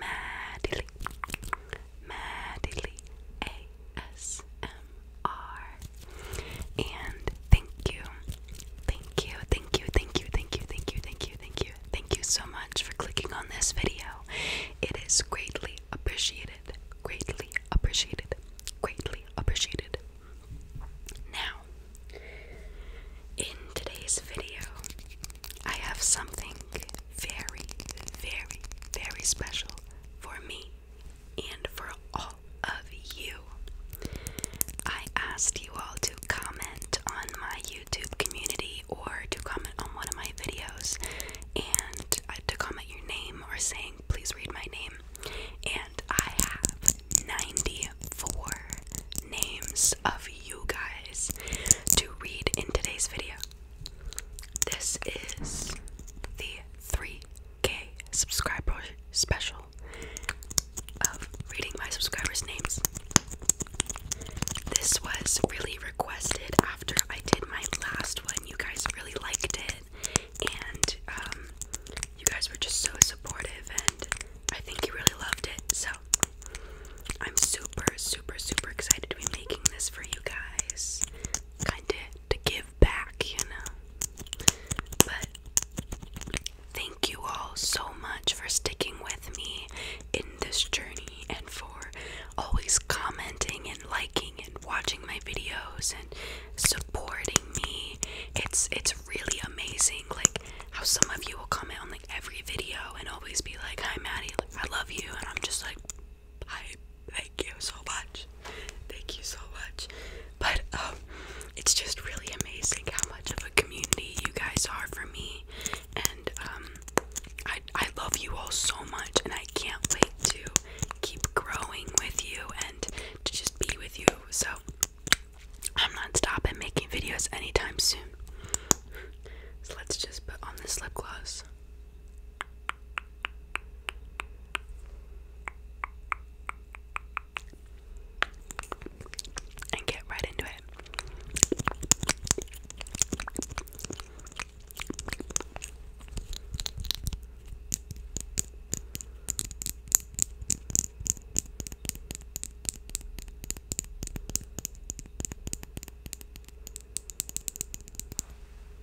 Madly, Madly ASMR. And thank you, thank you, thank you, thank you, thank you, thank you, thank you, thank you, thank you so much for clicking on this video. It is greatly appreciated, greatly appreciated, greatly appreciated. Now, in today's video, I have something very, very, very special for me and for all of you. I asked you all to comment on my YouTube community or to comment on one of my videos and uh, to comment your name or saying, please read my name. And I have 94 names of you guys to read in today's video. This is the 3K subscriber special of reading my subscribers' names. This was really requested after I did my last one. You guys really liked it, and um, you guys were just so supportive, and I think you really loved it. So I'm super, super, super excited to be making this for you guys kind of to give back, you know. But thank you all so much for sticking with me in this journey and for always commenting and liking and watching my videos and supporting me. It's it's really amazing like how some of you will comment on like every video and always be like, "Hi Maddie, I love you." And I'm just like I thank you so much. Thank you so much. But um it's just really amazing how much of a community you guys are for me. And um I I love you all so much and I can't wait to keep growing with you and to just be with you. So I'm not stopping making videos anytime soon. So let's just put on the lip gloss and get right into it.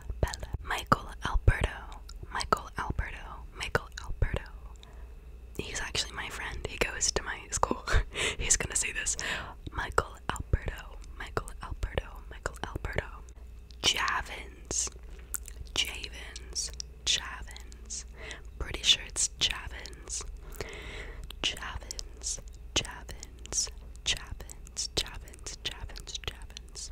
Bella, Bella, Michael Alberto, Michael Alberto, Michael Alberto. He's actually my friend. He goes to my school. He's gonna see this. Michael Alberto, Michael Alberto, Michael Alberto. Javins, Javins, Javins. Pretty sure it's Javins. Javins, Javins, Javins, Javins, Javins, Javins.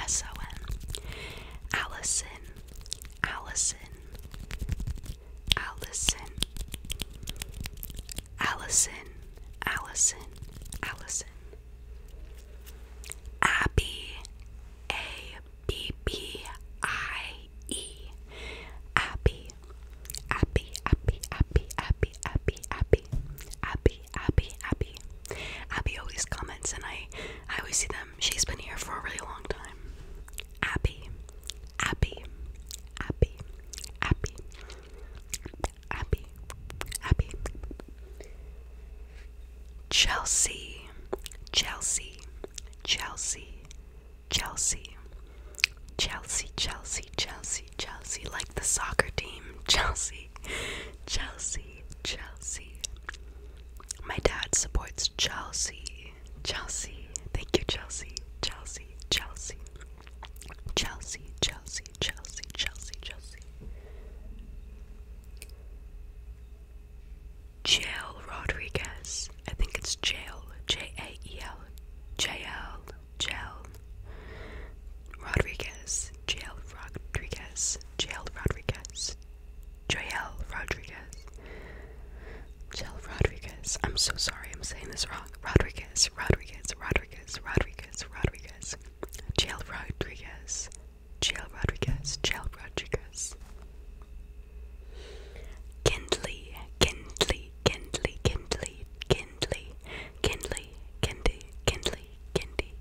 S-O-N. Allison, Allison, Allison, Allison, Allison, Allison. Abby, A-B-B-I-E. Abby, Abby, Abby, Abby, Abby, Abby, Abby, Abby, Abby, Abby. Abby always comments, and I, I always see them um, she's been here for a really long time. Abby, Abby, Abby, Abby, Abby, Abby. Chelsea, Chelsea, Chelsea, Chelsea, Chelsea, Chelsea, Chelsea, Chelsea, like the soccer team, Chelsea, Chelsea. Chelsea, Chelsea. My dad supports Chelsea, Chelsea. Thank you, Chelsea, Chelsea, Chelsea. Chelsea, Chelsea, Chelsea, Chelsea, Chelsea. Jail Rodriguez. I think it's Jail. J A E L. Jail. Jail. Rodriguez. Jail Rodriguez. Jail Rodriguez. Joel Rodriguez. Joel Rodriguez. I'm so sorry I'm saying this wrong. Rodriguez, Rodriguez, Rodriguez, Rodriguez, Rodriguez. Joel Rodriguez. Joel Rodriguez, Joel Rodriguez. Kindly, kindly, kindly, kindly, kindly, kindly, kindly, kindly, kindly,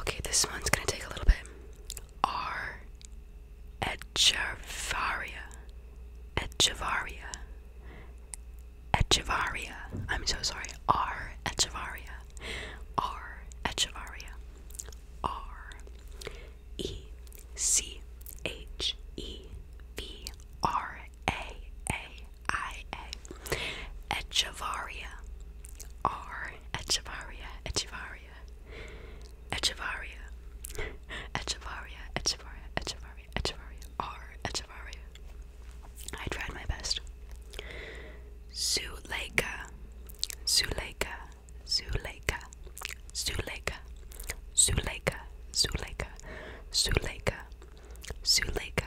Okay, this one's gonna take a little bit. R. Echevarria. Echevarria. Echevarria. I'm so sorry. R. Echevarria. R. Echevarria. R. E. C. H. E. V. R. A. A. I. A. Echevarria. R or Echevarria, Echevarria, Echevarria, Echevarria, Echevarria, Echevarria, Echevarria, or Echevarria. I tried my best. Zuleika, Zuleika, Zuleika, Zuleika, Zuleika, Zuleika, Zuleika, Zuleika,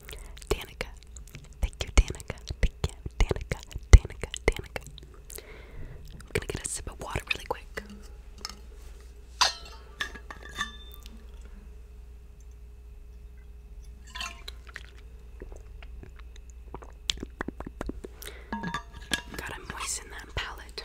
Danica. Thank you, Danica. Thank you, Danica. Danica, Danica. I'm gonna get a sip of water really quick. Gotta moisten that palate.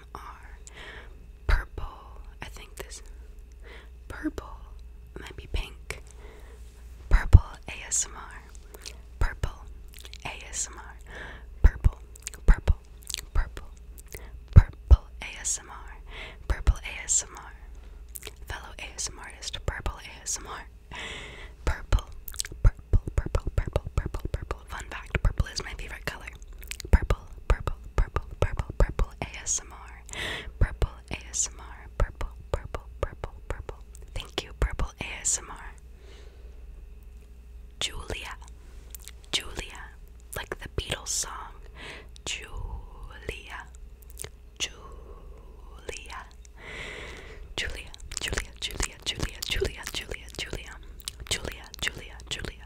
them are purple. I think this purple might be pink. Purple ASMR. Purple ASMR. Purple. Purple. Purple. Purple ASMR. Purple ASMR. Fellow ASMR artist. Purple ASMR. Purple. Purple. Purple. Purple. Purple. Purple. Fun fact. Purple is my favorite color. Purple. Purple purple, purple, purple ASMR, purple ASMR, purple, purple, purple, purple. Thank you, purple ASMR. Julia, Julia, like the Beatles song. Julia, Julia, Julia, Julia, Julia, Julia, Julia, Julia, Julia, Julia, Julia, Julia,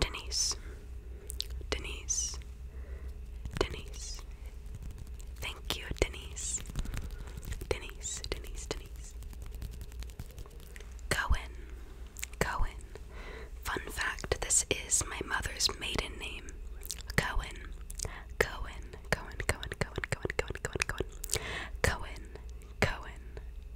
Denise, Denise, Denise. Thank you, Denise. Denise, Denise, Denise. Cohen, Cohen. Fun fact this is my mother's maiden name. Cohen, Cohen, Cohen, Cohen, Cohen, Cohen, Cohen, Cohen, Cohen, Cohen,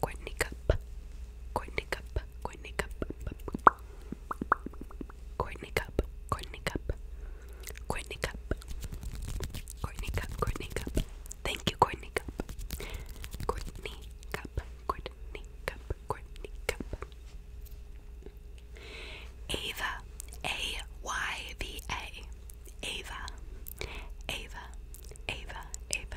Courtney Cup, Courtney Cup, Courtney Cup, Courtney Cup, Courtney Cup, Courtney Cup, Courtney Cup, Courtney Cup. Thank you, Courtney Cup. Courtney Cup, Courtney Cup, Courtney Cup. Ava, A Y V A. Ava, Ava, Ava, Ava,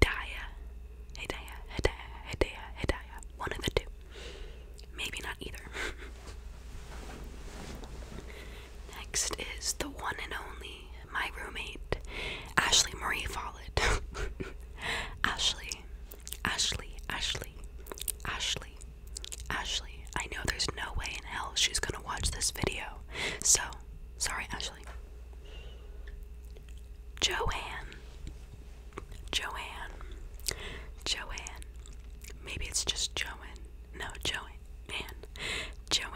Hidayah, Hidayah, Hidayah, Hidayah, Hidayah. One of the two. Maybe not either. Next is the one and only, my roommate, Ashley Marie Follett. Ashley, Ashley, Ashley, Ashley, Ashley. I know there's no way in hell she's gonna watch this video. So, sorry, Ashley. Joanne. Joanne. Joanne. Maybe it's just Joanne. No, Joanne. Joanne.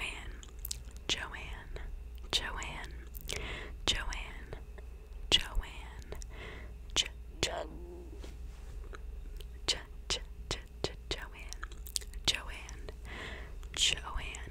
Joanne. Joanne. Joanne. Joanne. Jo jo jo jo jo Joanne. Joanne. Joanne.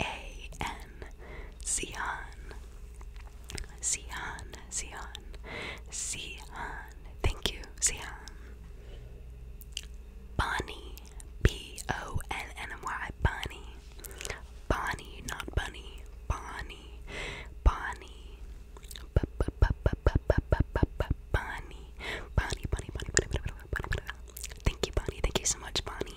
a N Cian. Cian, Cian, Cian. Thank you, Cian. Bonnie, B O N N Y, Bonnie. Bonnie, not bunny. Bonnie, Bonnie. Bonnie, Bonnie, Bonnie, Bonnie, Bonnie, Bonnie, Bonnie. Thank you, Bonnie. Thank you so much, Bonnie.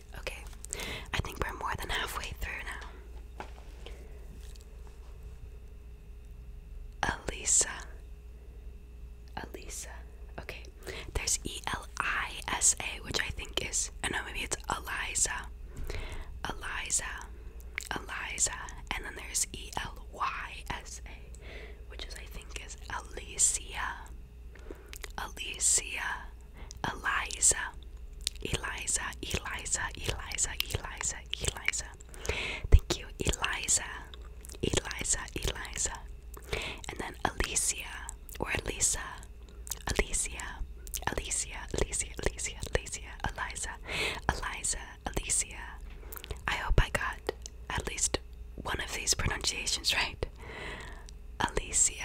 Okay, I think we're more than halfway through now. Elisa. Elisa. Okay, there's E L I S A, which I think is, oh know maybe it's Eliza. Eliza. Eliza. And then there's E L Y S A, which I think, is Alicia. Alicia, Eliza, Eliza, Eliza, Eliza, Eliza, Eliza. Thank you, Eliza, Eliza, Eliza. And then Alicia or Elisa, Alicia, Alicia, Alicia, Alicia, Alicia, Eliza, Eliza, Alicia. I hope I got at least one of these pronunciations right. Alicia,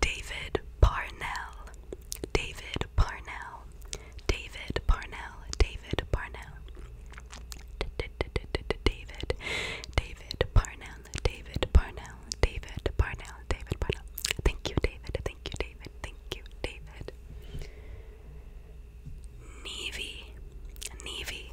David Parnell, David Parnell, David Parnell, David Parnell, David, David Parnell, David Parnell, David Parnell, David Parnell. Thank you, David. Thank you, David. Thank you, David. Navy, Navy,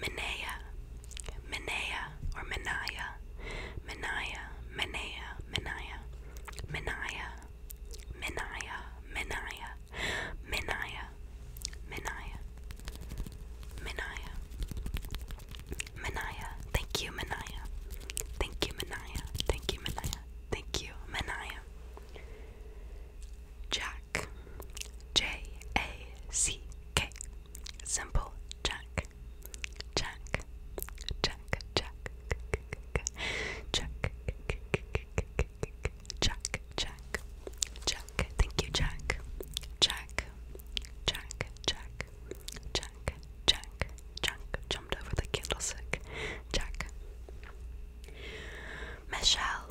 Menea, Menea, or Menaya, Menaya, Menea, Menaya, Menaya, Menaya, Menaya, Menaya, Menaya, Menaya, Menaya. Thank you, Menaya. Thank you, Menaya. Thank you, Menaya. Thank you, Menaya. Jack, J A C K. Simple. Jack. Jack. Jack. Jack. Jack. Jack. Jack. Jack. Thank you, Jack. Jack. Jack. Jack. Jack. Jack. Jack. Jumped over the candlestick. Jack. Michelle.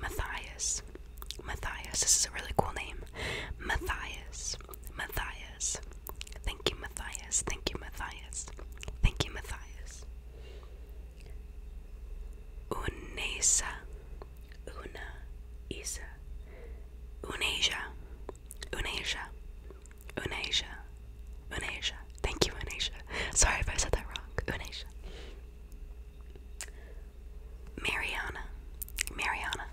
Matthias. Matthias. This is a really cool name. Matthias. Matthias. Thank you, Matthias. Thank you, Matthias. Thank you, Matthias. Unesa. Una Isa. Unasia. Unasia. Unasia. Unasia. Thank you, Unasia. Sorry if I said that wrong. Unasia. Mariana, Mariana,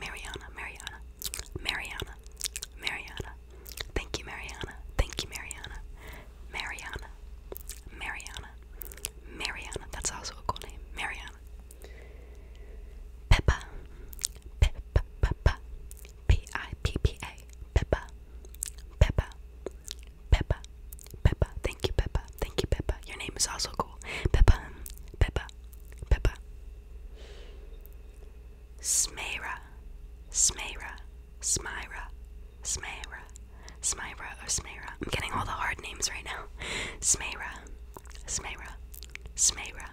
Mariana, Mariana, Mariana, Mariana. Thank you, Mariana. Thank you, Mariana. Mariana, Mariana, Mariana. That's also a cool name, Mariana. Pippa, Pippa, Pippa, P I P P A, Pippa, Pippa, Pippa, Peppa, thank you, Peppa, thank you, Peppa. Your name is also cool. Peppa, Peppa, Peppa. Smaira, Smaira, Smyra, Smaira, Smyra, or Smaira. I'm getting all the hard names right now. Smaira, Smaira, Smaira,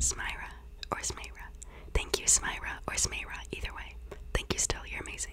Smyra, or Smaira. Thank you, Smyra, or Smaira, either way. Thank you, still, you're amazing.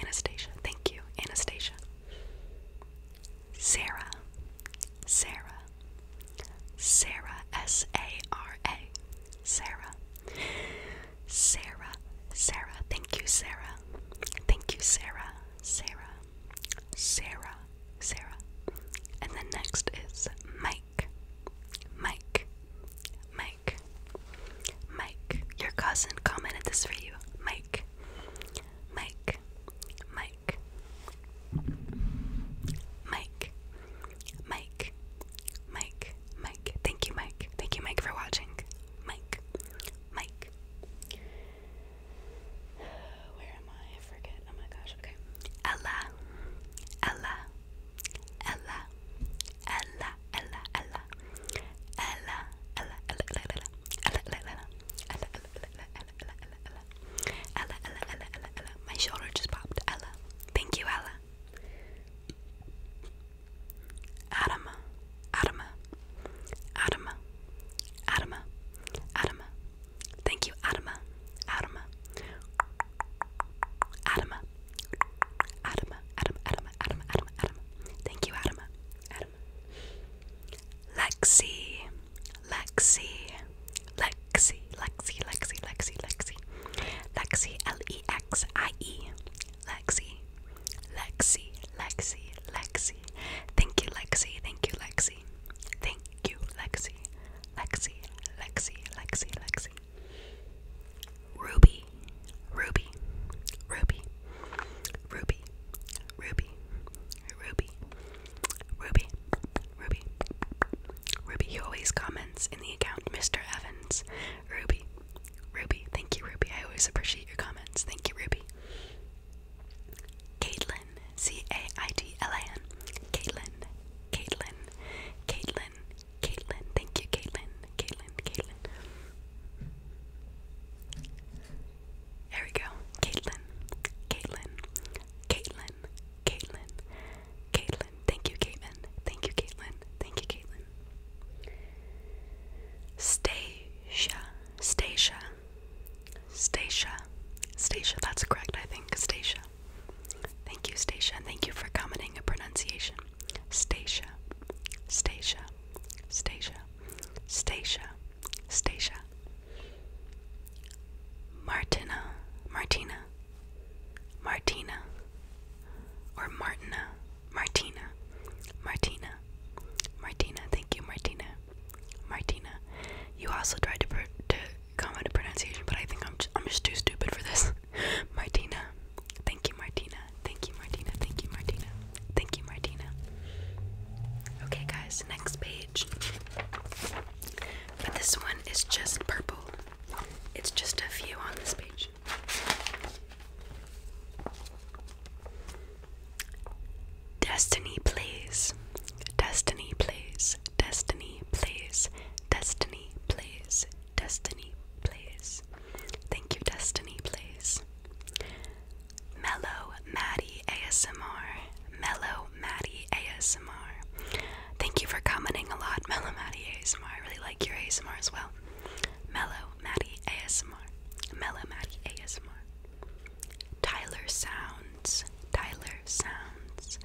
Anastasia, thank you, Anastasia. Sarah, Sarah, Sarah, S A R A, Sarah, Sarah, Sarah, thank you, Sarah, thank you, Sarah, Sarah, Sarah, Sarah. And then next is Mike, Mike, Mike. Mike. Your cousin commented this for you. Mike. Mike. Mike. Mike. Mike. Mike. Mike. Thank you, Mike. Thank you, Mike, for watching. Mike. Mike. Where am I forget. Oh my gosh. Okay. Ella. Ella. Ella. Ella. Ella, Ella, Ella, Ella, Ella, Ella, Ella, Ella, Ella, Ella, Ella, Ella, Ella, Ella, Ella, Ella, Ella, Ella. My shoulder just popped. Ella. Thank you, Ella. Adama, Adama, Adama, Adama, Adama. Thank you, Adama, Adama, Adama, Adam, Adam, Adam, Adam, Adam, Adam. Thank you, Adam. Adam. Lexi, Lexi, Lexi, Lexi, Lexi, Lexi, Lexi, Lexi, L E X I E, Lexi, Lexi, Lexi, Lexi. Thank you, Lexi. Thank you, Lexi. Thank you, Lexi. Lexi, Lexi, Lexi, Lexi. Ruby, Ruby, Ruby, Ruby, Ruby, Ruby, Ruby, Ruby, Ruby. He always comments in the account, Mr. Evans. Ruby, Ruby, thank you, Ruby. I always appreciate your comments. Thank you, Ruby. Caitlin, C A I T L A N. Caitlin, Caitlin, Caitlin, Caitlin, thank you, Caitlin, Caitlin, Caitlin. There we go, Caitlin, Caitlin, Caitlin, Caitlin, Caitlin. Thank you, Caitlin, thank you, Caitlin, thank you, Caitlin. Stasia, Stasia, Stasia, Stasia. That's correct, I think. Stasia. Thank you, Stasia, and thank you for commenting a pronunciation. Stasia, Stasia, Stasia, Stasia, Stacia. Martina, Martina, Martina, or Martina, Martina, Martina, Martina. Thank you, Martina, Martina. You also tried to, pr to comment a pronunciation, but I think I'm I'm just too stupid for this. Martina, Thank you, Martina. Thank you, Martina. Thank you, Martina. Thank you, Martina. Okay, guys, next page. But this one is just purple. It's just a few on this page. Destiny please. Destiny please. Destiny please. Destiny plays. Destiny Plays. Thank you, Destiny Plays. Mellow Maddie ASMR. Mellow Maddie ASMR. Thank you for commenting a lot, Mellow Maddie ASMR. I really like your ASMR as well. Mellow Maddie ASMR. Mellow Maddie ASMR. Tyler Sounds. Tyler Sounds.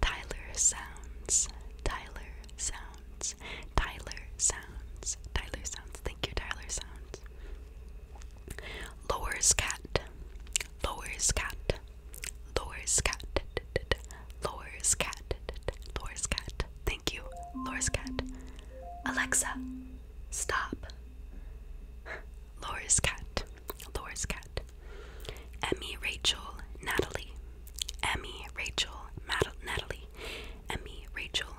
Tyler Sounds. Tyler Sounds. Tyler Sounds. Tyler Sounds. Thank you, Tyler Sounds. Lowers cat. Lowers cat. Lowers cat. Lowers cat. Lowers cat. Thank you, Lowers cat. Alexa, stop. Lowers cat. Lowers cat. Emmy, Rachel, Natalie. Emmy, Rachel, Natalie. Emmy, Rachel,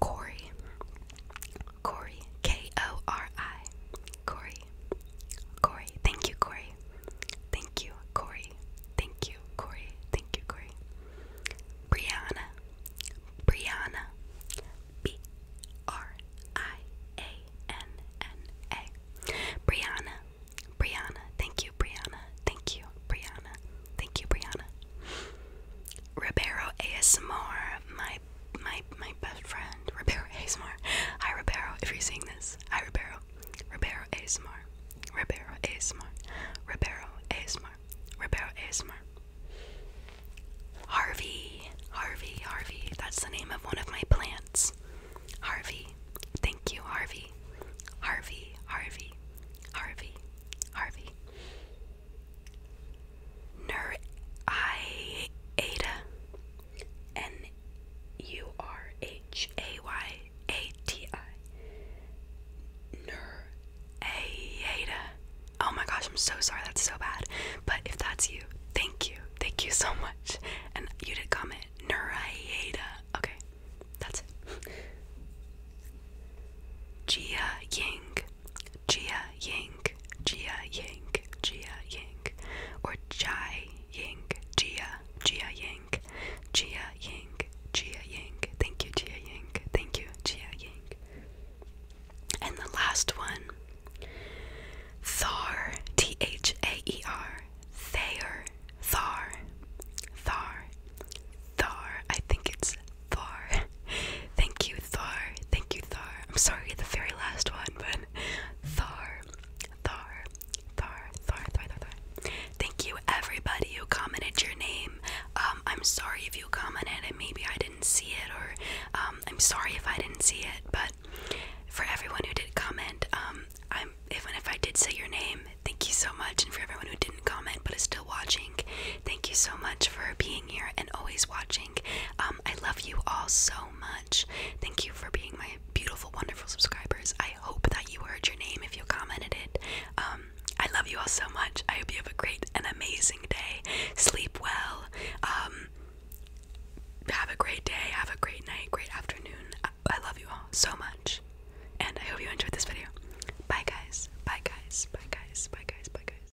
Corey. Corey. K O R I. Corey. Corey. Thank you, Corey. Thank you, Corey. Thank you, Corey. Thank you, Corey. Brianna. Brianna. B R I A N N A. Brianna. Brianna. Thank you, Brianna. Thank you, Brianna. Thank you, Brianna. Ribeiro ASMR, my my my best friend. Ribeiro ASMR. Hi Ribeiro, if you're seeing this. Hi Ribeiro. Ribeiro ASMR. Ribeiro ASMR. Ribeiro ASMR. Ribeiro ASMR. Harvey. Harvey. Harvey. That's the name of one of my plants. Harvey. Thank you, Harvey. Harvey. Harvey. Harvey. Harvey. Nur I Ada N U R H A Y A T I Nur Oh my gosh, I'm so sorry, that's so bad. But if that's you, thank you. Thank you so much. And you did comment Nurayada. Okay, that's it. Jia Ying Jia Ying, Jia Ying, Jia Ying, or Jai Ying, Jia, Jia Ying, Jia Ying, Jia Ying. Thank you, Jia Ying. Thank you, Jia Ying. And the last one, Thar, T H A E R, Thayer, Thar, Thar, Thar. I think it's Thor. Thank you, Thor. Thank you, Thor. I'm sorry, the very last one, but Thor, Thor, Thor, Thor, Thor, Thor, Thor. Thank you, everybody who commented your name. Um, I'm sorry if you commented and maybe I didn't see it, or um, I'm sorry if I didn't see it, but for everyone who did comment, um, I'm even if I did say your name, thank you so much, and for everyone who didn't comment but is still watching, watching. Thank you so much for being here and always watching. Um, I love you all so much. Thank you for being my beautiful, wonderful subscribers. I hope that you heard your name if you commented it. Um, I love you all so much. I hope you have a great and amazing day. Sleep well. Um, have a great day. Have a great night. Great afternoon. I, I love you all so much. And I hope you enjoyed this video. Bye guys. Bye guys. Bye guys. Bye guys. Bye guys. Bye guys.